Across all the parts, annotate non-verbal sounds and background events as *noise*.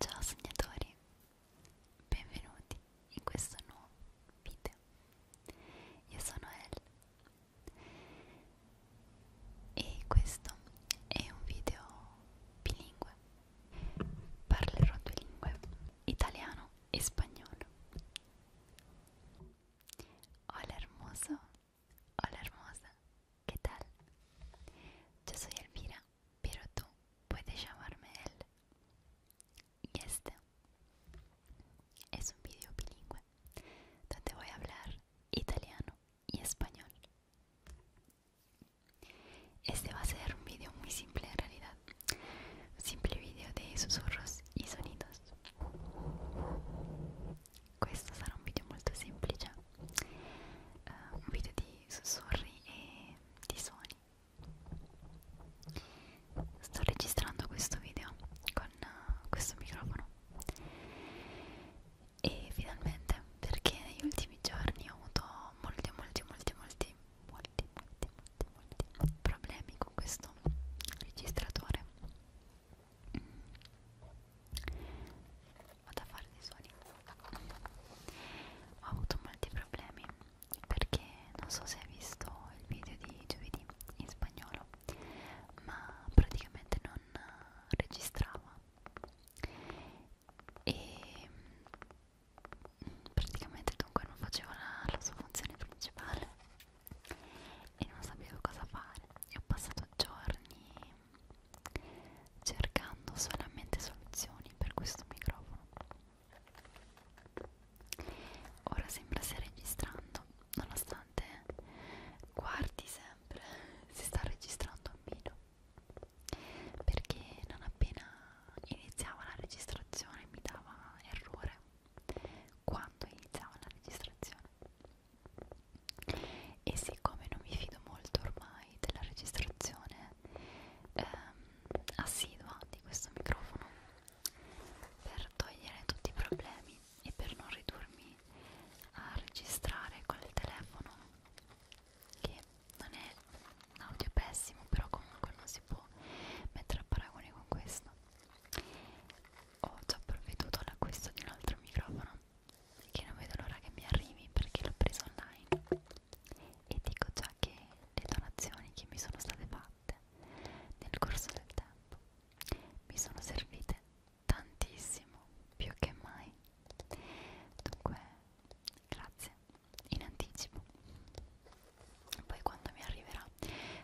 Ciao sognatori, benvenuti in questo nuovo video. Io sono Elle e questo è un video bilingue Parlerò due italiano e spagnolo. Hola hermoso, hola hermosa, ¿qué tal? Yo soy Elvira, pero tú puedes llamarme él. Y este es un video bilingüe donde voy a hablar italiano y español. Este va a ser un vídeo muy simple en realidad, un simple video de susurros y sonidos. Questo sarà un video molto semplice, uh, ah, un video di sussurri e eh, di suoni. Sto registrando questo video con uh, questo microfono e finalmente perché negli ultimi giorni ho avuto molti molti molti molti molti, molti, molti, molti problemi con questo registratore vado a fare dei suoni ho avuto molti problemi perché non so se hai visto il video di giovedì in spagnolo ma praticamente non registrava e praticamente dunque non faceva la, la sua funzione principale e non sapevo cosa fare e ho passato giorni cercando solamente soluzioni per questo microfono ora sembra stia registrando nonostante guardi sempre *laughs* si sta registrando un video perché non appena iniziava la registrazione mi dava errore quando iniziava la registrazione e siccome non mi fido molto ormai della registrazione ehm, assidua di questo microfono per togliere tutti i problemi e per non ridurmi a registrare col telefono che non è un audio pessimo però comunque non si può mettere a paragone con questo ho già provveduto all'acquisto di un altro microfono che non vedo l'ora che mi arrivi perché l'ho preso online e dico già che le donazioni che mi sono state fatte nel corso del tempo mi sono servite tantissimo più che mai dunque grazie in anticipo poi quando mi arriverà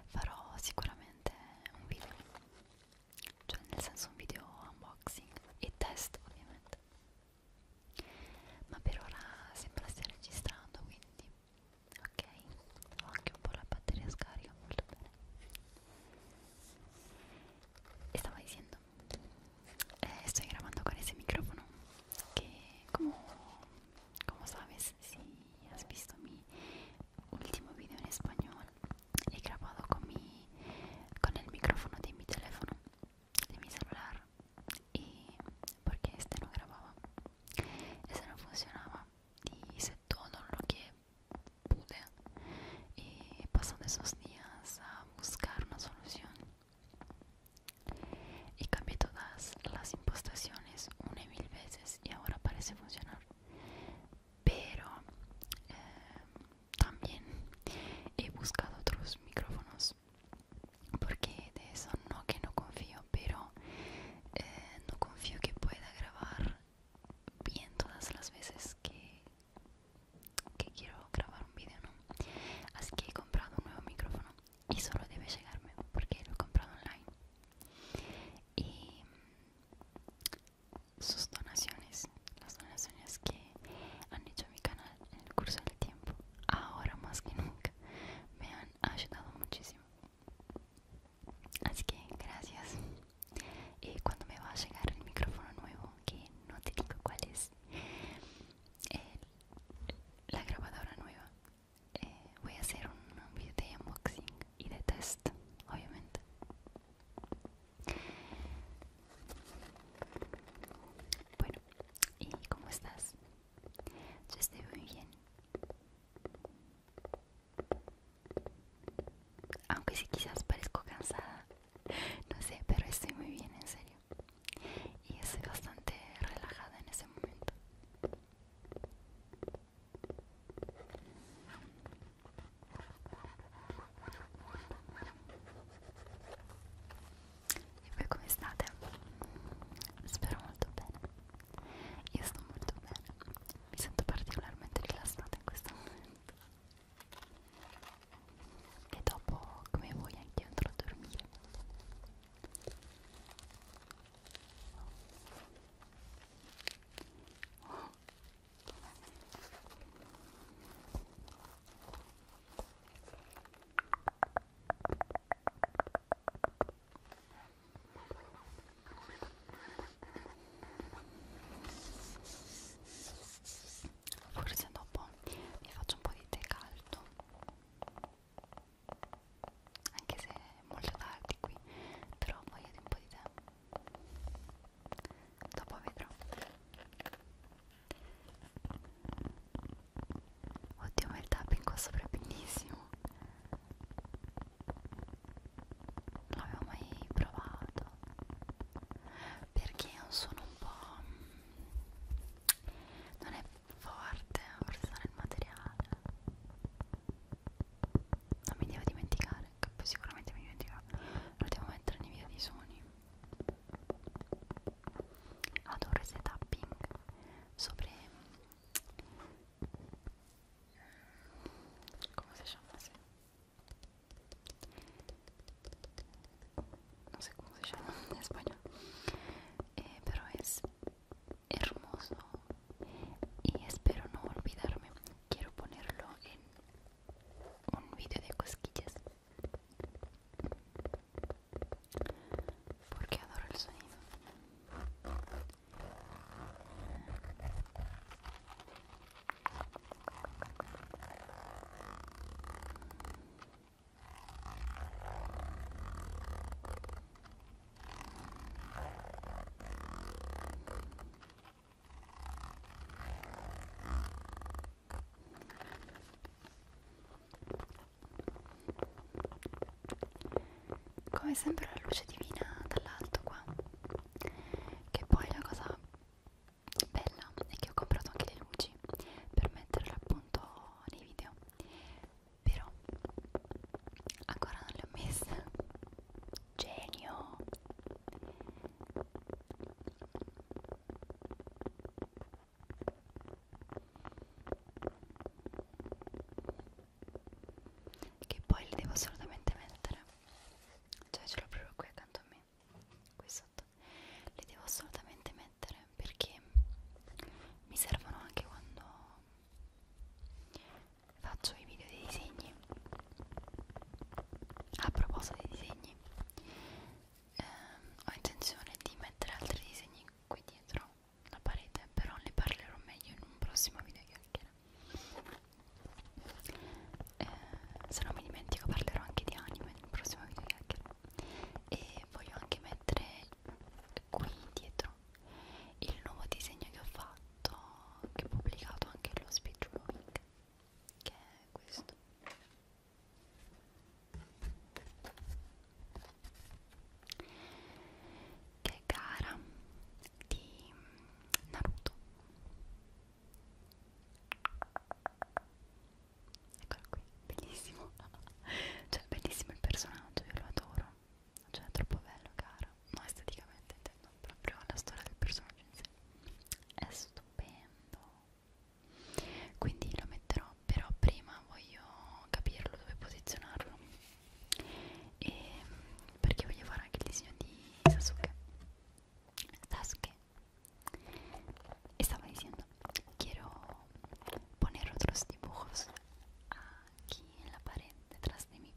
farò sicuramente un video cioè nel senso un video unboxing e test ovviamente ma per ora sembra stia registrando quindi ok ho anche un po' la batteria scarica molto bene e stavo dicendo Eh, estoy grabando con ese micrófono que como, sabes si has visto mi último video en español he grabado con con el micrófono de mi teléfono de mi celular y porque este no grababa este no funcionaba y hice todo lo que pude y pasando esos días buscar una solución y cambié todas las impostaciones una y mil veces y ahora parece funcionar pero eh, también he buscado otros micrófonos porque de eso no que no confío pero eh, no confío que pueda grabar bien todas las veces que, que quiero grabar un vídeo, ¿no? Así que he comprado un nuevo micrófono y solo debe llegarme porque lo he comprado online. Y mm, sus donaciones, las donaciones que han hecho mi canal en el curso del tiempo, ahora más que nunca, me han ayudado muchísimo. Así que gracias. Y eh, cuando me va a llegar el micrófono nuevo, que no te digo cuál es, la grabadora nueva. Eh, voy a hacer un, video de unboxing y de test, obviamente. Bueno, ¿y cómo estás? Yo estoy muy bien. Aunque si quizás parezco cansada, no sé, pero estoy muy bien, en serio. Y estoy bastante relajada en ese momento. E voi come state? Espero muy bien Io estoy muy bien Mi sento particularmente relajada en este momento. e dopo come vuoi anche andrò a dormire oh forse dopo mi faccio un po' di tè caldo anche se è molto tardi qui però voglio di un po' di tè dopo vedrò oddio ma il tapping qua sopra è bellissimo non l'avevo mai provato perché è un suono un po' non è forte forse sarà il materiale non mi devo dimenticare che poi sicuramente mi dimenticherò lo devo mettere nei video di suoni adoro ese tapping sopra mm, come si chiama sì. no sé cómo se llama en español eh, pero es hermoso y espero no olvidarme quiero ponerlo en un vídeo de cosquillas porque adoro el sonido Come sempre la luce divina dall'alto qua che poi la cosa bella è che ho comprato anche le luci per metterle appunto nei video però ancora non le ho messe genio che poi li devo assolutamente mettere cioè ce l'ho proprio qui accanto a me qui sotto li devo assolutamente mettere perché mi servono anche quando faccio i video dei disegni a proposito dei disegni ehm, ho intenzione di mettere altri disegni qui dietro la parete però ne parlerò meglio in un prossimo video chiacchiera eh, se non mi dimentico parlerò anche di anime nel prossimo video chiacchiere e voglio anche mettere qui dietro il nuovo disegno che ho fatto che ho pubblicato anche lo speech drawing che è questo che è cara di Naruto eccolo qui, bellissimo *laughs* cioè bellissimo il personaggio, io lo adoro cioè è troppo bello cara no esteticamente intendo proprio la storia del personaggio in sé è stupendo quindi lo metterò però prima voglio capirlo dove posizionarlo Eh, porque voy a llevar anche el diseño de Sasuke Sasuke estaba diciendo quiero poner otros dibujos aquí en la pared detrás de mí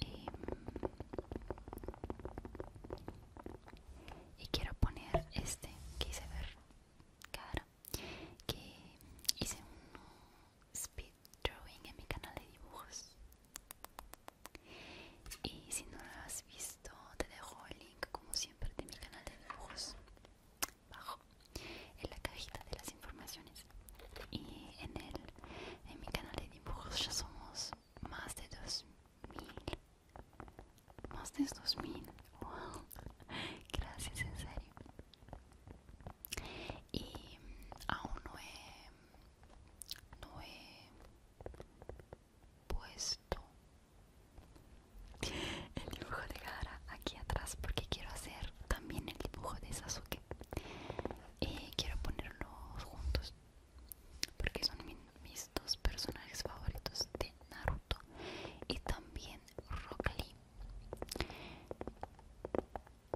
y, eh, y quiero poner este que hice ver cara que hice un speed drawing en mi canal de dibujos. Y si no lo has visto, te dejo el link como siempre de mi canal de dibujos bajo en la cajita de las informaciones. Y en el en mi canal de dibujos ya somos más de 2000. Más de 2000. Wow. *laughs* Gracias, en serio. Y aún no he, puesto el dibujo de Gara aquí atrás porque quiero hacer también el dibujo de Sasuke y quiero ponerlos juntos porque son mis dos personajes favoritos de Naruto y también Rock Lee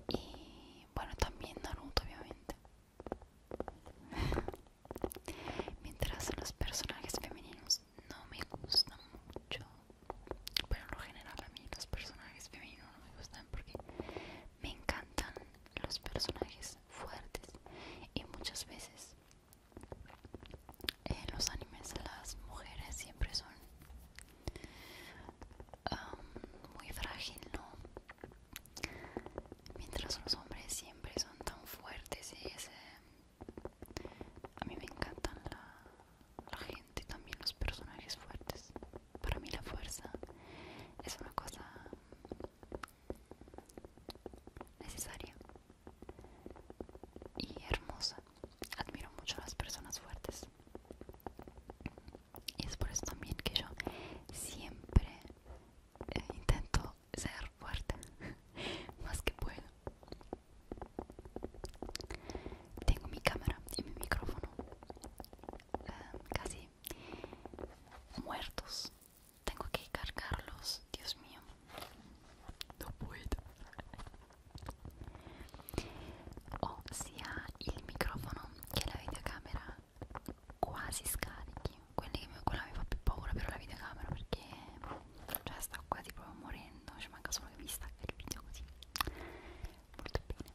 y bueno, también Naruto, obviamente. *laughs* Mientras los personajes femeninos no me gustan mucho. pero en lo general a mí los personajes femeninos no me gustan porque me encantan los personajes fuertes. Y muchas veces en los animes las mujeres siempre son muy frágil, ¿no? Mientras los hombres siempre son tan fuertes y A mí me encantan la, gente también los personajes fuertes. Para mí la fuerza es una cosa necesaria y hermosa admiro mucho a las personas fuertes y es por eso también que yo siempre eh, intento ser fuerte *laughs* más que puedo tengo mi cámara y mi micrófono ah, casi muertos tengo que cargarlos Dios mío no puedo ho sia il microfono che la videocamera quasi scarichi Quelli che mi, quella mi fa più paura però la videocamera perché boh, cioè sta quasi proprio morendo ci manca solo che mi stacca il video così molto bene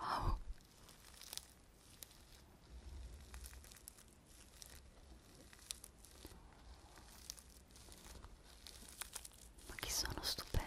Wow. Ma che sono stupendo.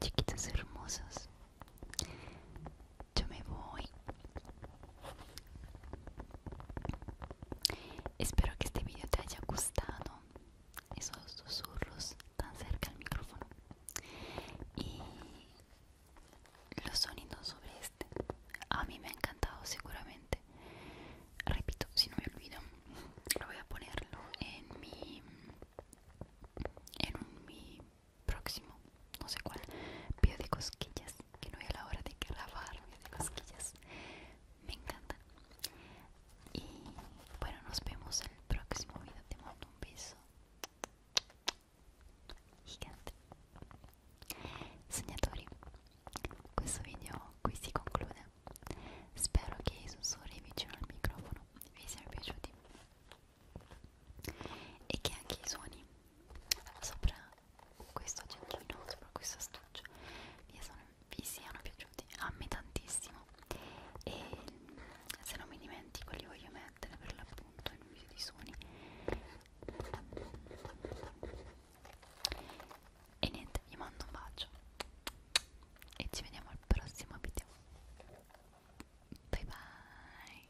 Chiquitas hermosas, yo me voy Espero que este video te haya gustado. Esos susurros tan cerca al micrófono. Y los sonidos sobre este. A mí me ha encantado seguramente. Repito, si no me olvido, lo voy a ponerlo en mi en mi próximo no sé cuál, pío de cosquillas, que no es la hora de grabar, pío de cosquillas, me encanta. Y bueno, nos vemos en el próximo video, te mando un beso gigante. Señores Este video aquí si concluye Spero que i sussurri vicino al microfono vi siano piaciuti e che anche i suoni sopra questo accendino, sopra questo astuccio vi, sono, vi siano piaciuti a me tantissimo e se non mi dimentico li voglio mettere per l'appunto in un video di suoni e niente, vi mando un bacio e ci vediamo al prossimo video bye bye